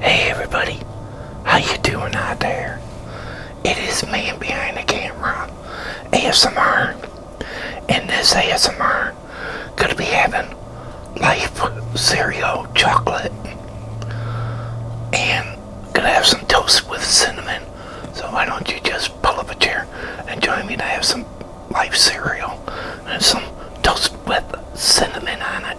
Hey everybody, how you doing out there? It is man behind the camera, ASMR, and this ASMR gonna be having life cereal chocolate, and gonna have some toast with cinnamon. So why don't you just pull up a chair and join me to have some life cereal and some toast with cinnamon on it.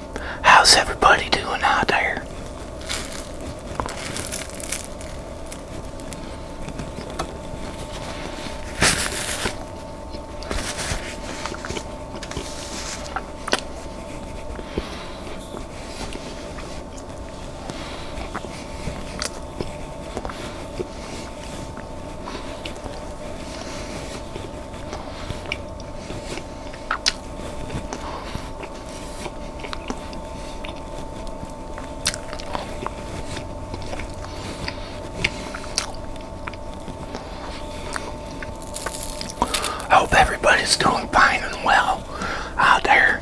How's everybody doing out there? I hope everybody's doing fine and well out there.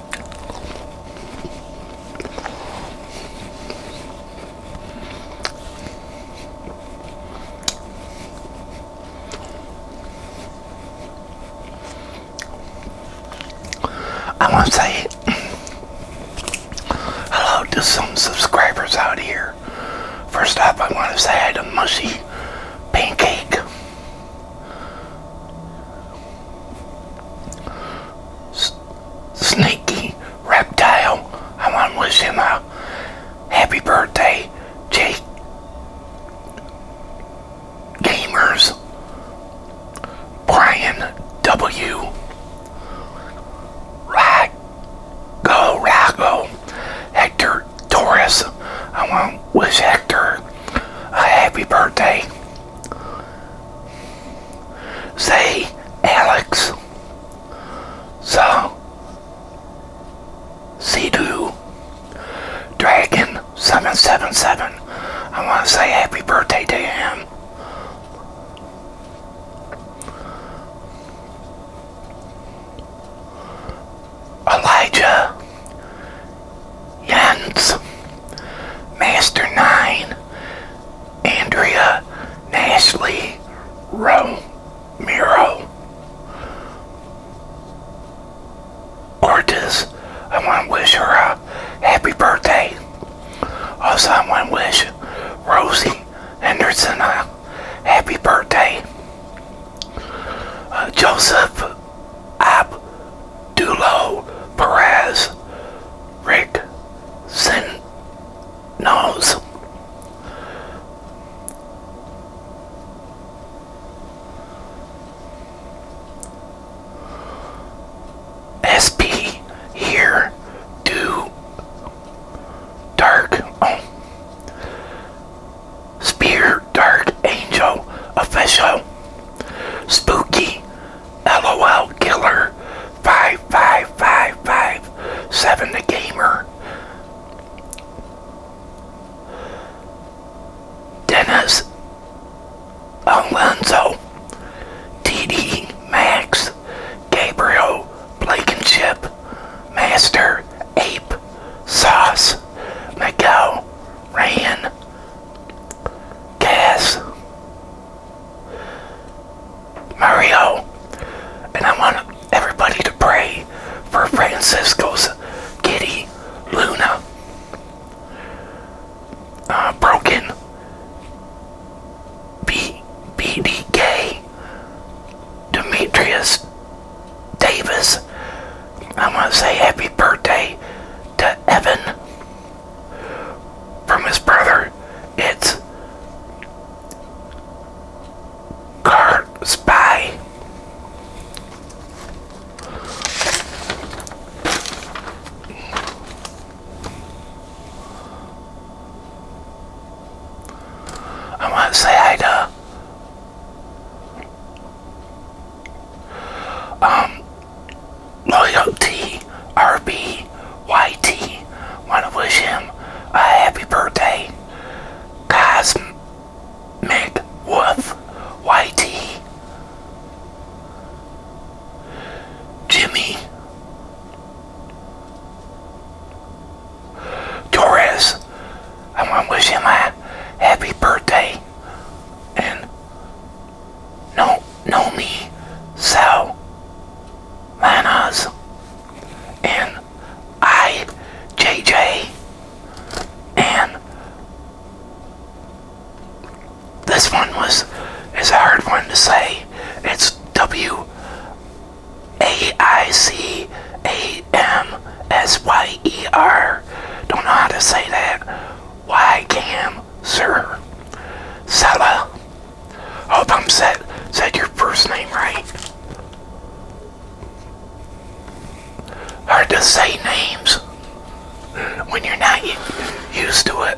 I want to say hello to some subscribers out here. First off, I want to say I a mushy pancake S Sneaky Reptile. I want to wish him a happy birthday, Jake. Gamers. Brian W. Rock. Go, Hector Taurus, I want to wish Hector a happy birthday. Say, Alex. So, C2 Dragon 777. I want to say happy birthday to him. Elijah Jens, Master 9, Andrea Nashley Romero, Cortez. I want to wish her a happy birthday. Also, I want to wish Rosie Henderson a happy birthday. Joseph Abdullo Perez, Rick Sinos, SP here, do dark. Oh. Spear Dark Angel Official Spooky LOL Killer 55557 The Gamer Dennis Alonso TD Max Gabriel Blankenship Master Ape Sauce, Miguel, Ryan, Cass, Mario, and I want everybody to pray for Francisco's kitty, Luna, uh, Broken, B BDK, Demetrius Davis. I want to say happy birthday to Evan from his brother. It's Car Spy. I want to say hi to um, Loyalty RB Want to wish him a happy birthday. Cosmic Wolf YT. Jimmy Torres. I want to wish him a happy birthday. And no, no me, so Manas and I, JJ, and this one was is a hard one to say. It's W a I C A M S Y E R. Don't know how to say that. Y Cam Sir Sella. Hope I'm said said your first name right. Hard to say names when you're not used to it.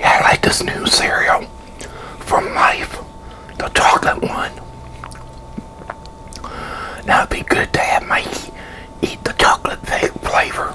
Yeah, I like this new cereal from Life, the chocolate one. Now it'd be good to have Mikey eat the chocolate flavor.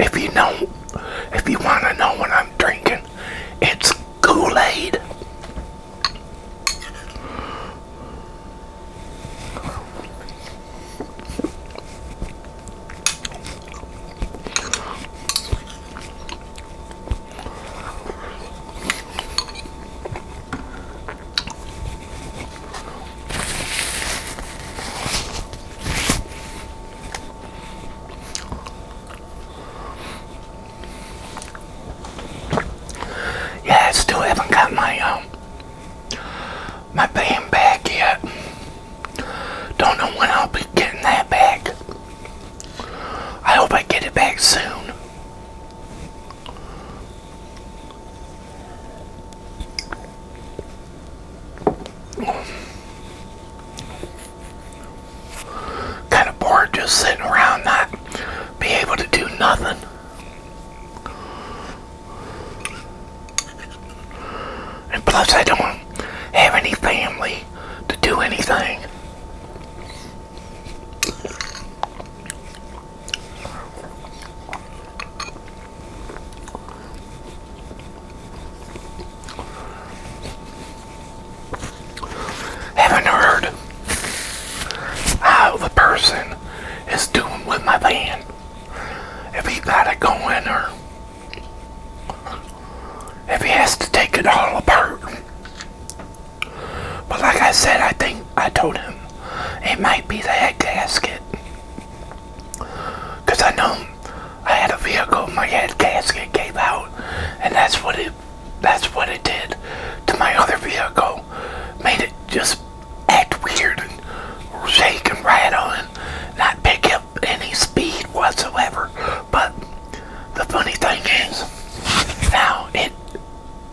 If you know, if you want to know what I'm drinking, it's Kool-Aid. Yeah, I still haven't got my um my band back yet. Don't know when I'll be getting that back. I hope I get it back soon. Kind of bored just sitting around, not be able to do nothing. And plus, I don't have any family to do anything. Haven't heard how the person is doing with my van. If he got it going or if he has to take it all apart. But like I said, I think I told him it might be the head gasket. Because I know I had a vehicle, my head gasket gave out, and that's what it that's what it did to my other vehicle. Made it just act weird and shake and ride on, not pick up any speed whatsoever. But the funny thing is, now it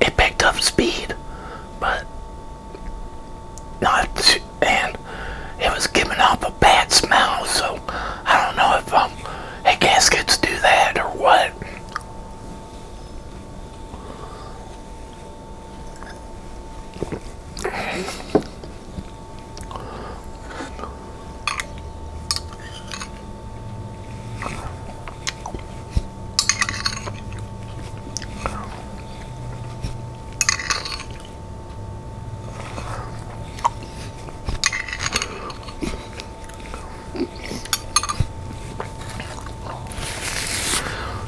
it picked up speed, but not and it was giving off a bad smell. So I don't know if um hey gaskets do that or what.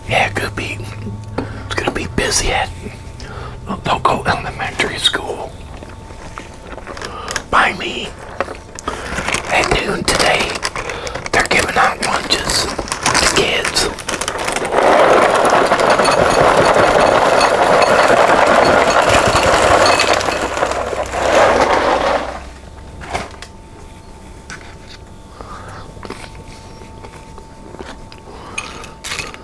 Yeah, good beat. It's gonna be busy at local elementary school by me at noon today. They're giving out lunches to kids.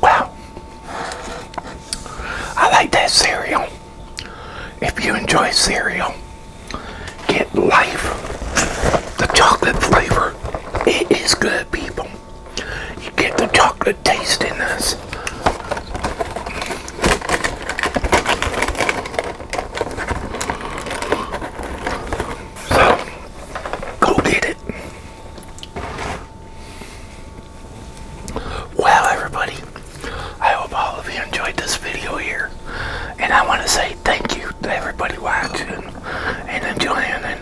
Well, I like that cereal. If you enjoy cereal, get life, the chocolate flavor. It is good, people. You get the chocolate tastiness. So, go get it. Well, everybody, I hope all of you enjoyed this video here. And I want to say thank you to everybody watching and enjoying. And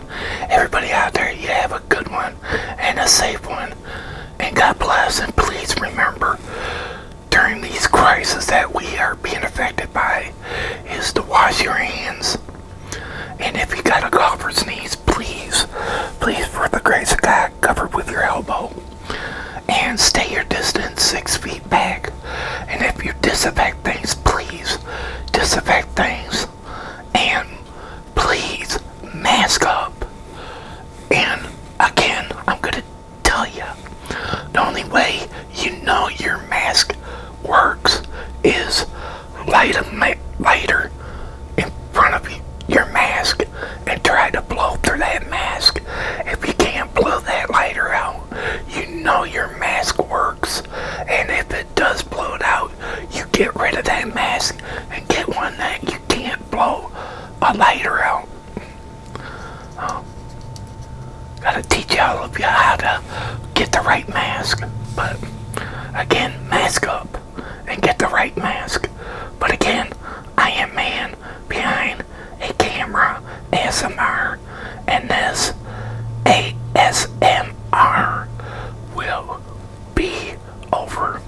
everybody out there, you have a good one and a safe one. And God bless. And please remember during these crises that we are being affected by is to wash your hands. And if you got a cough or sneeze, please, please, for the grace of God, cover with your elbow. And stay your distance six feet back. And if you disinfect things, please disinfect things. And please mask up. And again, I'm going to tell you the only way you know your mask works is light a lighter in front of your mask and try to blow through that mask. If you can't blow that lighter out, you know your mask works. And if it does blow it out, you get rid of that mask and get one that you can't blow a lighter out. Oh. Gotta teach all of you how to get the right mask. But again, mask up and get the right mask. But again, I am man behind a camera ASMR and this ASMR will be over.